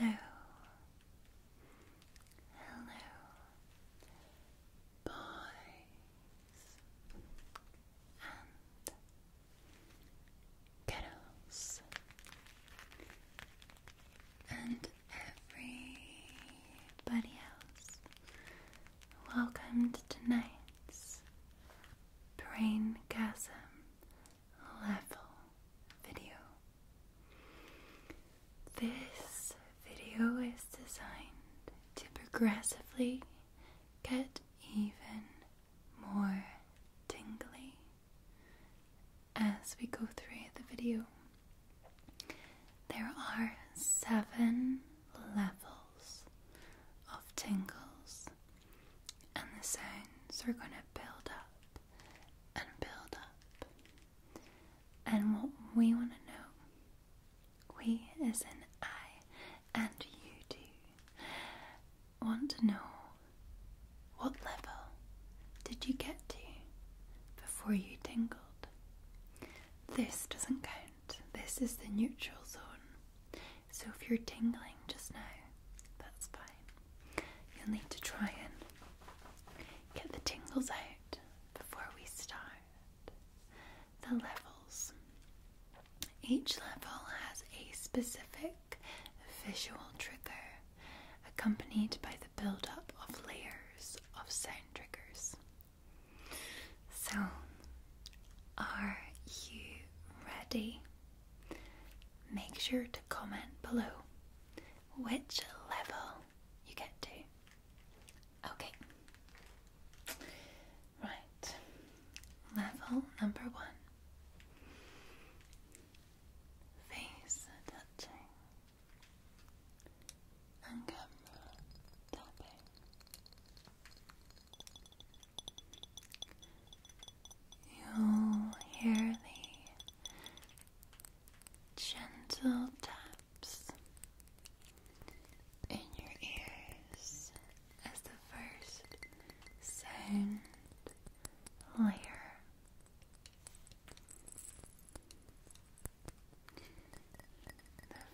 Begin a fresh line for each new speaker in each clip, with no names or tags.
Hello, hello, boys and girls, and everybody else Welcome to tonight's braingasm Level video. This video is designed to progressively get even more tingly as we go through the video. There are seven levels of tingles, and the sounds are going to build up and build up. And what we want to know, we as in I and you do, want to know what level did you get to before you tingled? This doesn't count. This is the neutral zone. So if you're tingling just now, that's fine. You'll need to try and get the tingles out before we start. The levels. Each level has a specific visual trigger accompanied by the build up of layers of sound triggers. So, are you ready? Make sure to comment below which level you get to. Okay. Right. Level number one. Face touching on camera tapping. you hear the gentle taps in your ears as the first sound layer the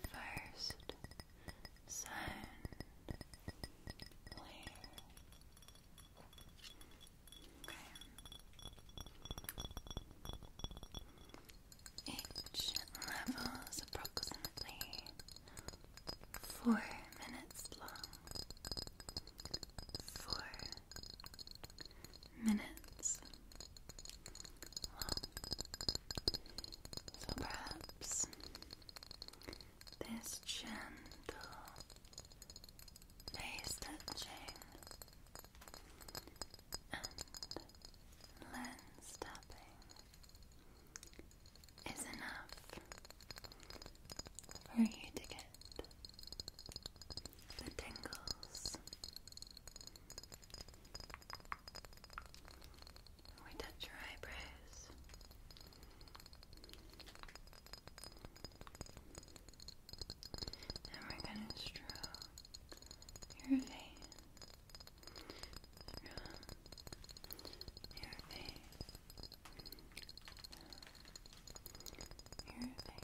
first sound Each level is approximately four minutes long. Four minutes long. So perhaps this gentle face and lens tapping is enough for you to get the tingles we touch your eyebrows. And we're gonna stroke your face. Stroke your face. Your face. Just like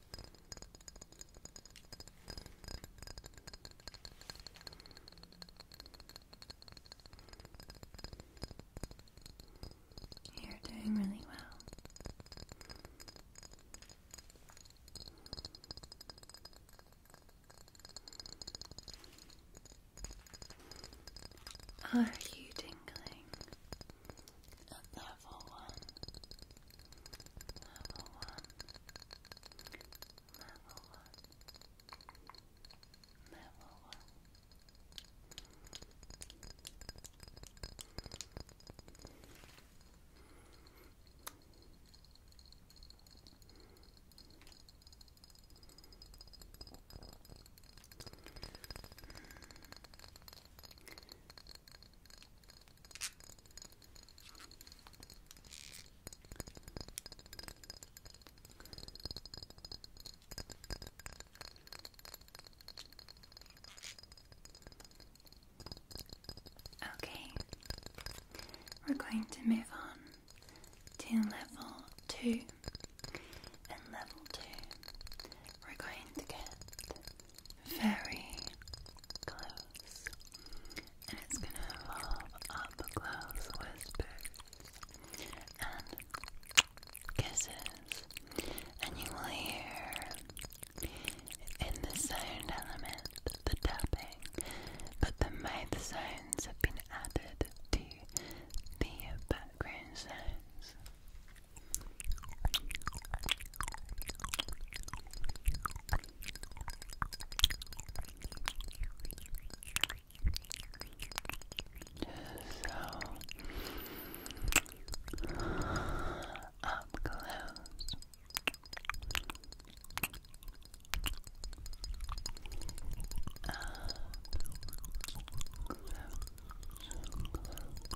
You're doing really well. Are you tingling level one? Level one. Level one. Level one. Okay, we're going to move on to level two. And level two, we're going to get very close, and it's going to involve up close whispers and kisses, and you will hear in the sound element the tapping, but the mouth sounds have been added to the background sounds up close. Up close. Close.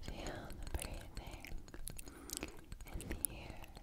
Feel the breathing in the ears.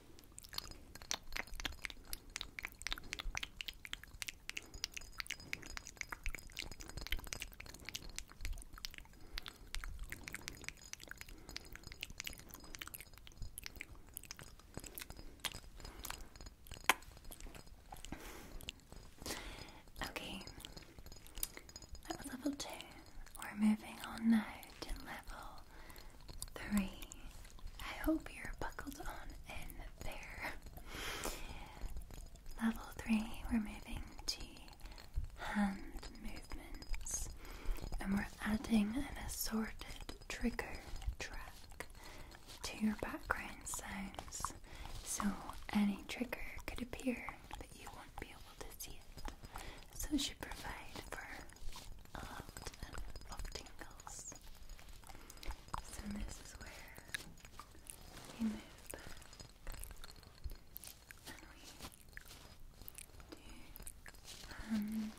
Okay, that was level two. We're moving on to level three. I hope you're buckled on in there. Level three, we're moving to hand movements and we're adding an assorted trigger track to your background sounds so any trigger could appear but you won't be able to see it so it should provide for a lot of tingles. So this is where we move and we do hand movements.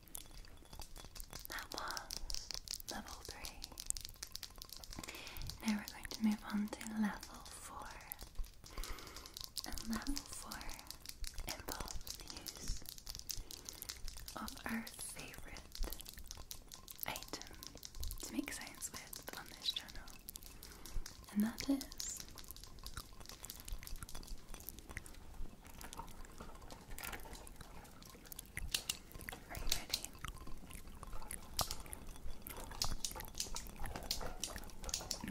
That was level 3. Now we're going to move on to level 4. And level 4 involves the use of our favourite item to make science with on this channel. And that is are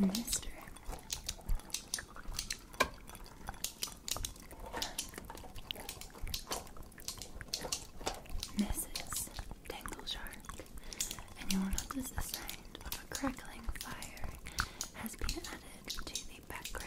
you Mister. Mrs. Dangle Shark, and you will notice the sound of a crackling fire has been added to the background track.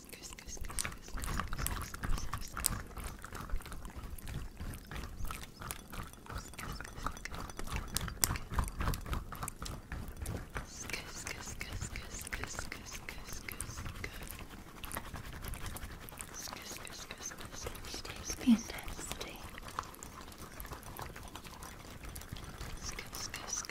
Fantastic. Skis, skis,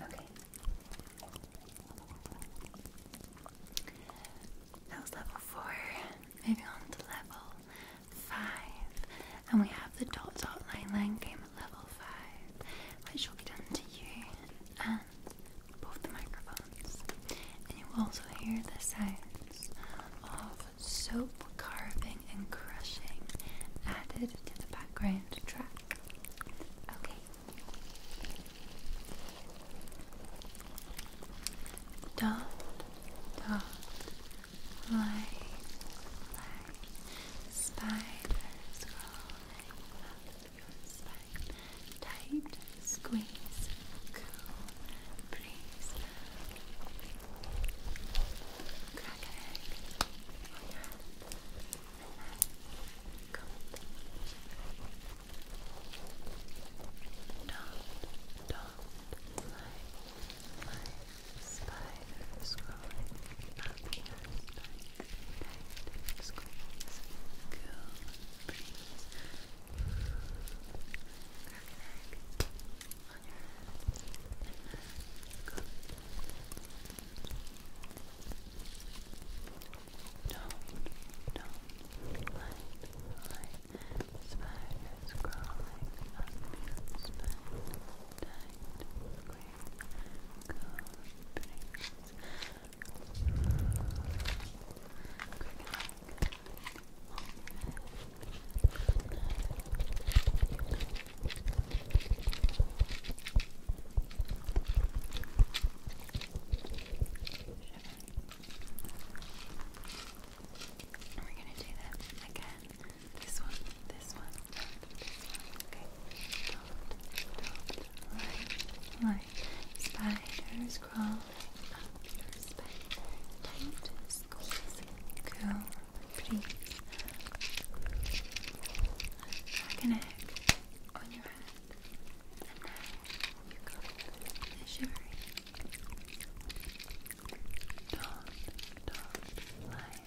Okay. That was level four. Moving on to level five. And we have the dot dot line line game time level 5, which will be done to you and both the microphones. And you will also hear the sounds of soap carving and crushing added to the background track. Okay. Dot, dot, line, line. Spiders crawling up your spine. Tight squeeze. Cool breeze. Crack an egg on your head. Relax. Cold. Don't, lie. Lie. Spiders crawling up your spine. Spiders crawling. Cool breeze. Crack on your head. Don't, don't light, light. Spiders crawling up your spine. Tight, and we're going to do this again this one, this one, this one. Okay. Don't, don't lie, lie. Spiders crawling up your spine. Tight squeeze. Go, please. Like an egg on your head. And now you got the shivering. Don't, don't lie.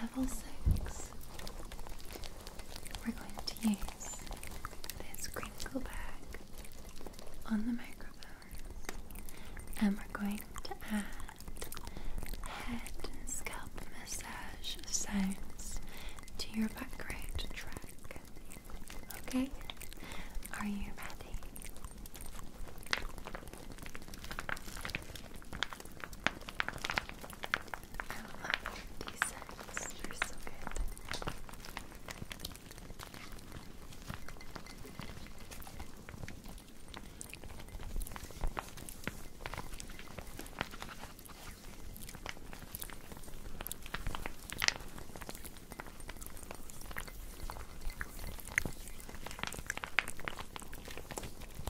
Level 6. We're going to use this crinkle bag on the microphone and we're going to add head and scalp massage sounds to your background track. Okay? Are you ready? I love these scents. They're so good. I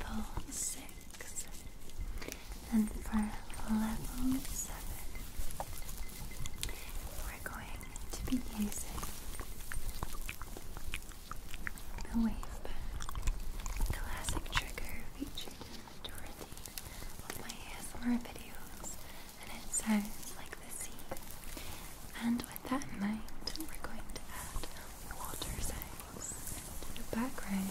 level six, and for level seven, we're going to be using the wave classic trigger featured in the majority of my ASMR videos, and it sounds like and with that in mind, we're going to add water signs to the background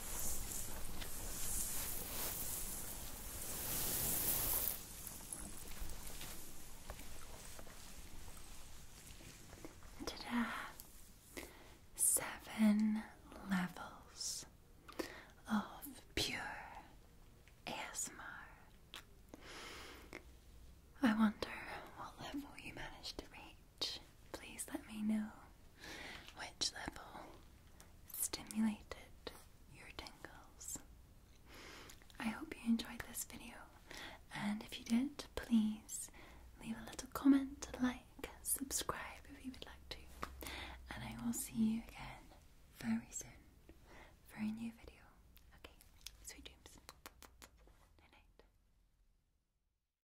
Ta-da! Seven levels of pure ASMR. I wonder what level you managed to reach. Please let me know which level stimulated your tingles. I hope you enjoyed this video, and if you did, please leave a little comment, like, subscribe if you would like to, and I will see you again very soon for a new video. Okay, sweet dreams. Night night.